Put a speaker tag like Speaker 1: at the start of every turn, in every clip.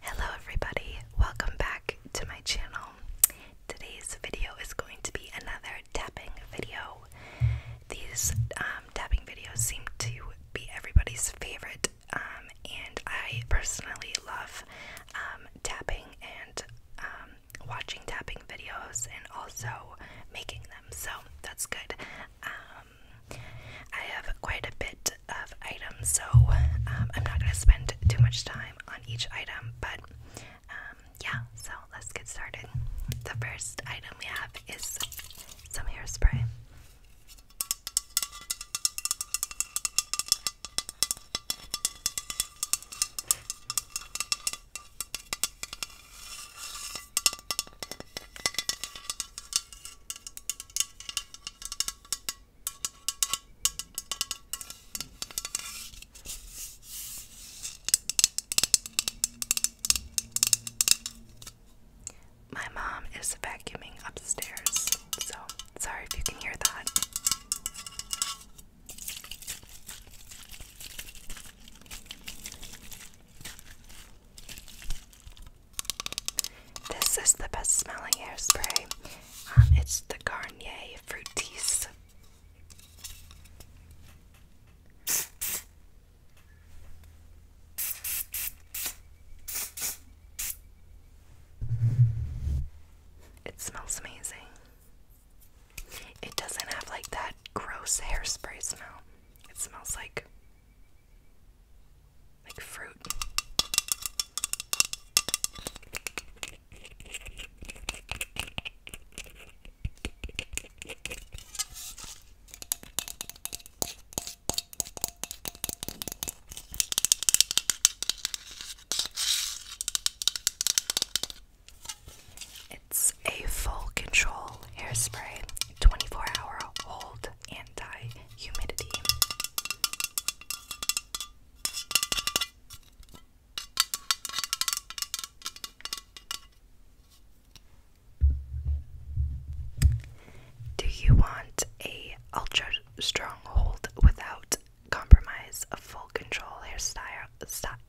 Speaker 1: Hello everybody, welcome back to my channel. Today's video is going to be another tapping video. These um, tapping videos seem to be everybody's favorite um, and I personally love um, tapping and watching tapping videos and also making them, so that's good. I have quite a bit of items, so um, I'm not going to spend too much time on each item, but um, yeah, so let's get started. The first item we have is some hairspray. My mom is vacuuming upstairs, so sorry if you can hear that. This is the best smelling hairspray. Um, it's the Garnier Fructis. It smells amazing. It doesn't have like that gross hairspray smell. It smells like like fruit. It's a full control hairspray, 24 hour hold anti-humidity. Do you want a ultra strong hold without compromise of full control hairstyle? Stop.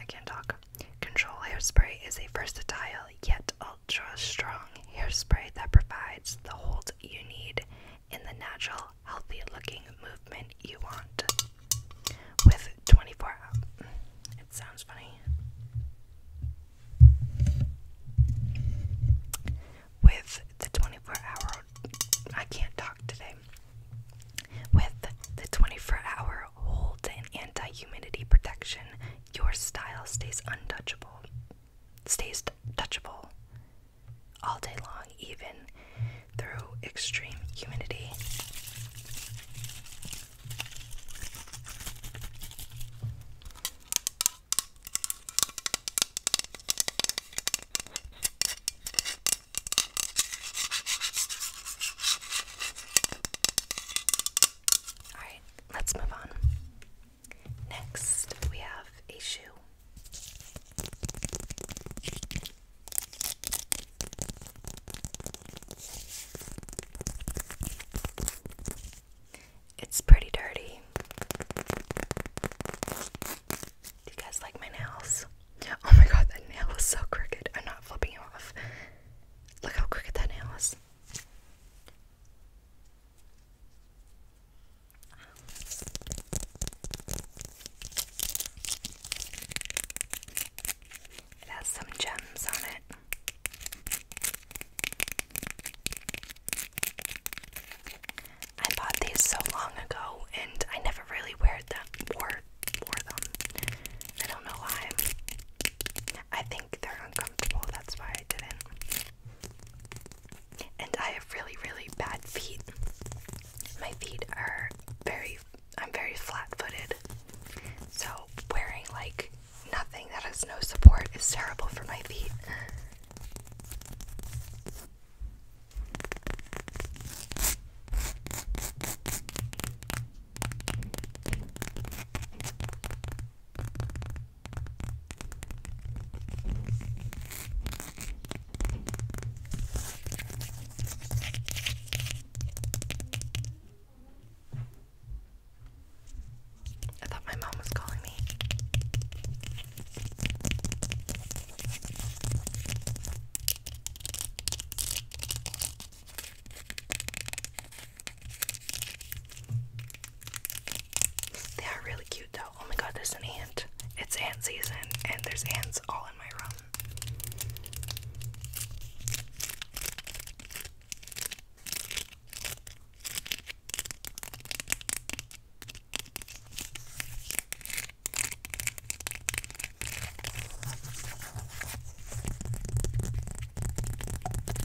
Speaker 1: I can't talk. Control hairspray is a versatile yet ultra strong hairspray that provides the hold you need in the natural, healthy looking movement you want. With 24 out. It sounds funny. With the 24 hour, I can't talk today. With the 24 hour hold and anti humidity protection, your style stays untouchable stays touchable all day long, even through extreme humidity. All right, let's move on. Next, we have a shoe. It's pretty dirty. Do you guys like my nails? Oh my god, that nail was so crooked. I'm not flipping it off. Look how crooked that nail is. It has some gems on it. I bought these so long ago and I never really wear them wore wore them. I don't know why. I think they're uncomfortable comfortable, that's why I didn't. And I have really, really bad feet. My feet are very, I'm very flat footed. So wearing like nothing that has no support is terrible for my feet. I thought my mom was calling me. They are really cute though. Oh my god, there's an ant. It's ant season, and there's ants all in my room.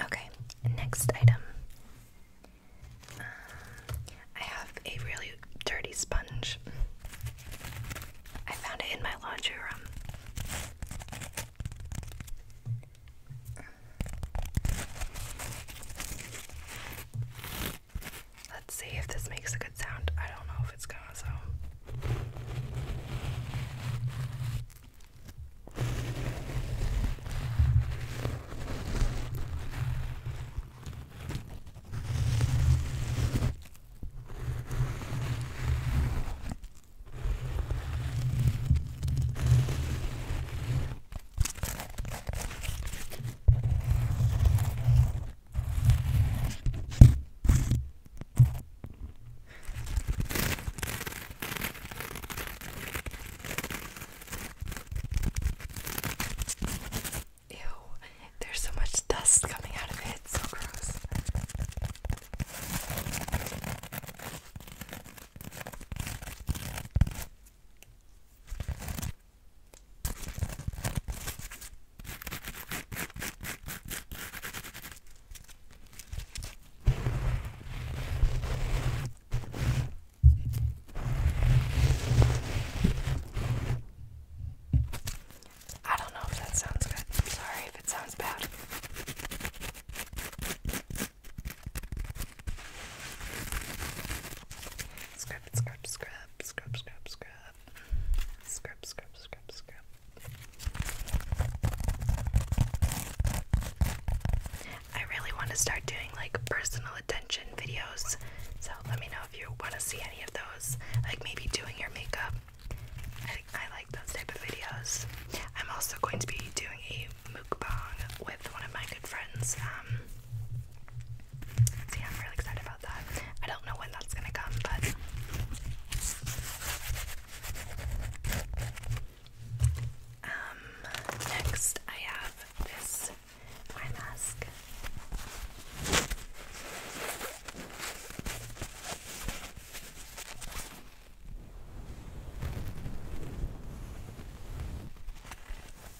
Speaker 1: Okay, next item. Um, I have a really dirty sponge. I found it in my laundry room. Let's see if this makes a good sound. I don't know if it's gonna, so. Ew, there's so much dust coming out of it, it's so gross. I don't know if that sounds good. I'm sorry if it sounds bad. Scrub, scrub, scrub, scrub, scrub, scrub up. Scrub, scrub, scrub, I really want to start doing like personal attention videos, so let me know if you want to see any of those. Like maybe doing your makeup. I, like those type of videos. I'm also going to be doing a mukbang with one of my good friends. Um, so I'm really excited about that. I don't know when that's gonna come, but um, next I have this eye mask.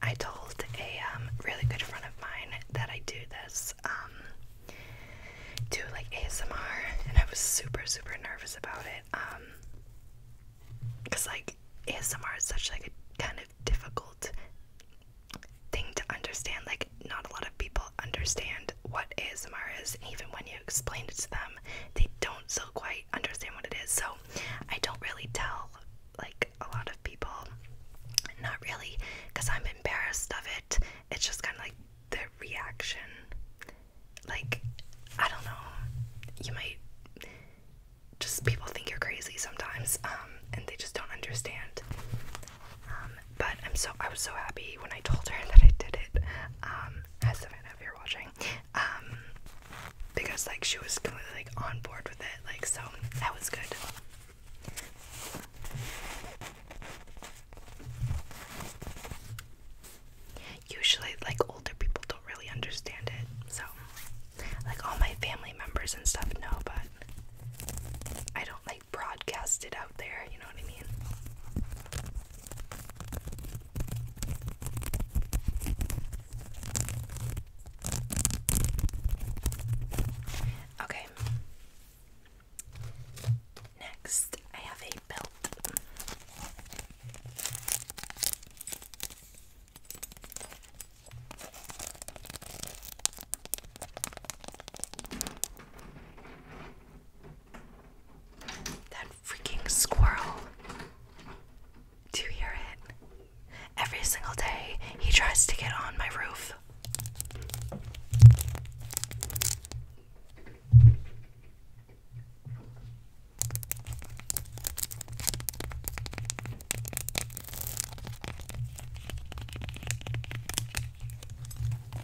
Speaker 1: I told a um, really good friend of mine that I do this, um, do like ASMR, and I was super, super nervous about it, um, because like ASMR is such like a kind of difficult thing to understand. Like not a lot of people understand what ASMR is, even when you explain it to them, they don't so quite understand what it is. So I don't really tell like a lot of people, not really, because I'm embarrassed of it. It's just kind of like the reaction. Like I don't know, you might just people think you're crazy sometimes, um, and they just don't understand. Um, but I'm so I was so happy when I told her that I did it. Um, as the fan if you're watching. Um, because like she was completely like on board with it, like so that was good. Usually, like older people don't really understand it, so like all my family members and stuff know, but I don't like like broadcast it out there, you know what I mean? Okay. Next, I have a belt. That freaking squirrel. Do you hear it? Every single day he tries to get on my roof.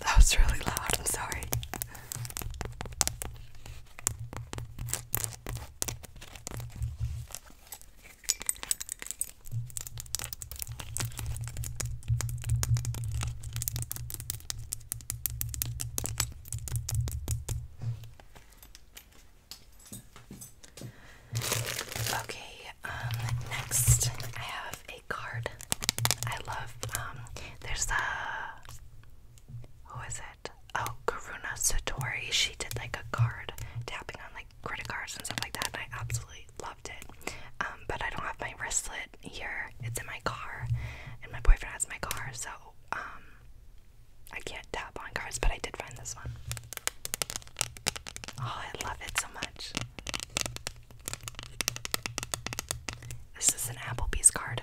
Speaker 1: That was really loud, I'm sorry. Okay, um, next I have a card. I love, um, there's a, who is it? Oh, Karuna Satori. She did like a card tapping on like credit cards and stuff like that, and I absolutely loved it. Um, but I don't have my wristlet here, it's in my car, and my boyfriend has my car, so, I can't tap on cards, but I did find this one. Oh, I love it so much. This is an Applebee's card.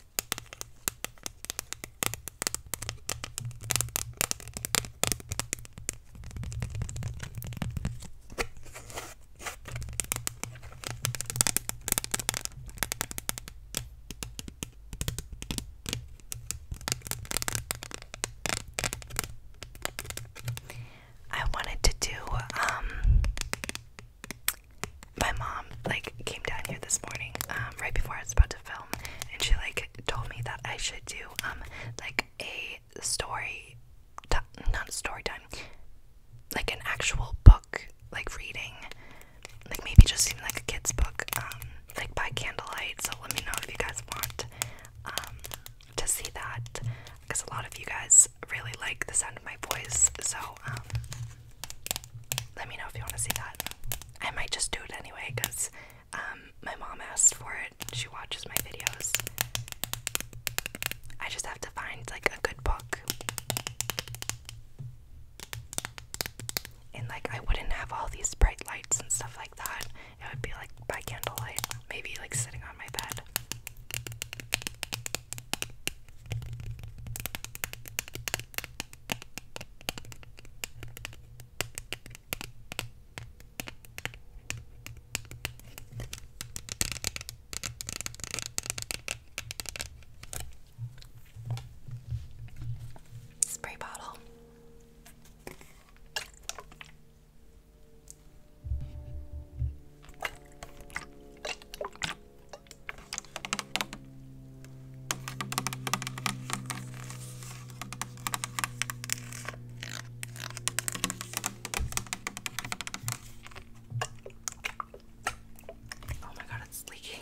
Speaker 1: I wanted to do, um, my mom like came down here this morning, um, right before I was about to film and she like told me that I should do um like a story not story time like an actual book like reading like maybe just even like a kid's book um, like by candlelight so let me know if you guys want um to see that because a lot of you guys really like the sound of my voice so um, let me know if you want to see that. I might just do it anyway because um, my mom asked for it. She watches my videos. I just have to find like a good book. And like I wouldn't have all these bright lights and stuff like that. It would be like by candlelight, maybe like sitting on my bed. Spray bottle. Oh my god, it's leaking.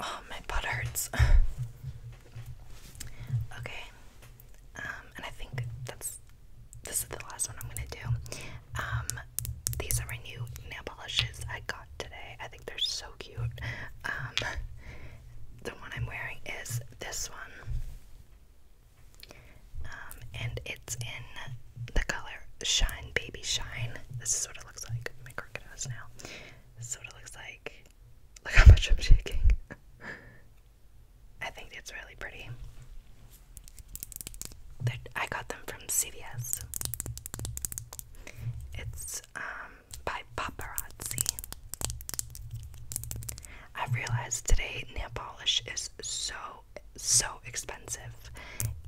Speaker 1: Oh, my butt hurts. okay. Um, and I think that's this is the last one I'm gonna do. Um, these are my new nail polishes I got today. I think they're so cute. Um, the one I'm wearing is this one. Um, and it's in the color Shine Baby Shine. This is what it looks like. My crooked eyes This is what it looks like. Look how much I'm shaking. I think it's really pretty. I got them from CVS. It's um, by Paparazzi. I realized today nail polish is so so expensive.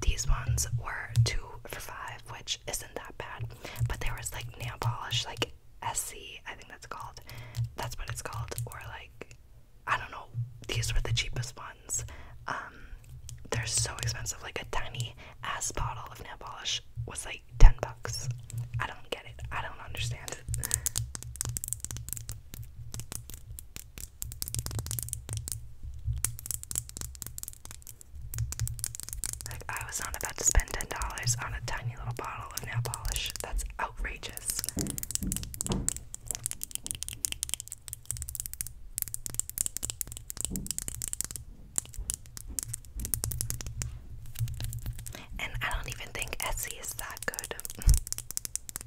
Speaker 1: These ones were two for five, which isn't that bad. But there was like nail polish, like SC, I think that's called. That's what it's called. Or like, I don't know. These were the cheapest ones. Um, they're so expensive. Like a tiny ass bottle of nail polish was like 10 bucks. I don't get it. I don't understand like, I was not about to spend $10 on a tiny little bottle of nail polish. That's outrageous. And I don't even think Etsy is that good.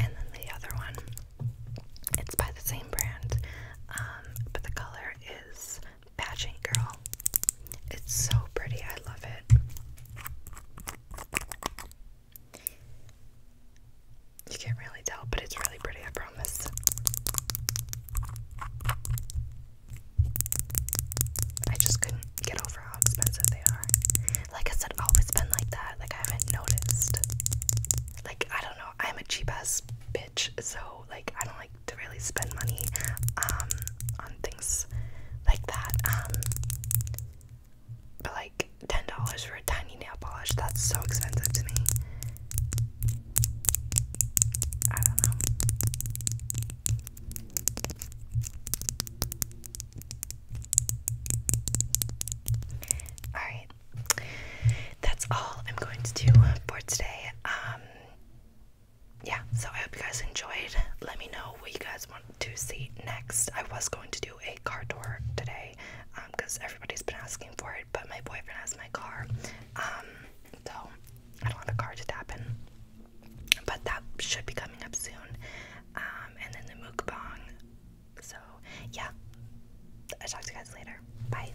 Speaker 1: And then the other one, it's by the same brand, um, but the color is Pageant Girl. It's so pretty, I love it. You can't really tell, but it's really pretty, I promise. I just couldn't get over how expensive they are. Like I said, I've always been like that. Like I haven't noticed. Like I don't know, I'm a cheap bitch, so like I don't like to really spend money um, on things like that. Um, but like ten dollars for a tiny nail polish, that's so expensive to me. I don't know. Alright. That's all I'm going to do for today. Um, yeah, so I hope you guys enjoyed. Let me know what you guys want to see next. I was going to do a car tour today because um, everybody's been asking for it, but my boyfriend has my car, um, so I don't have a car to tap in. But that should be coming up soon. Um, and then the mukbang. So, yeah, I'll talk to you guys later. Bye.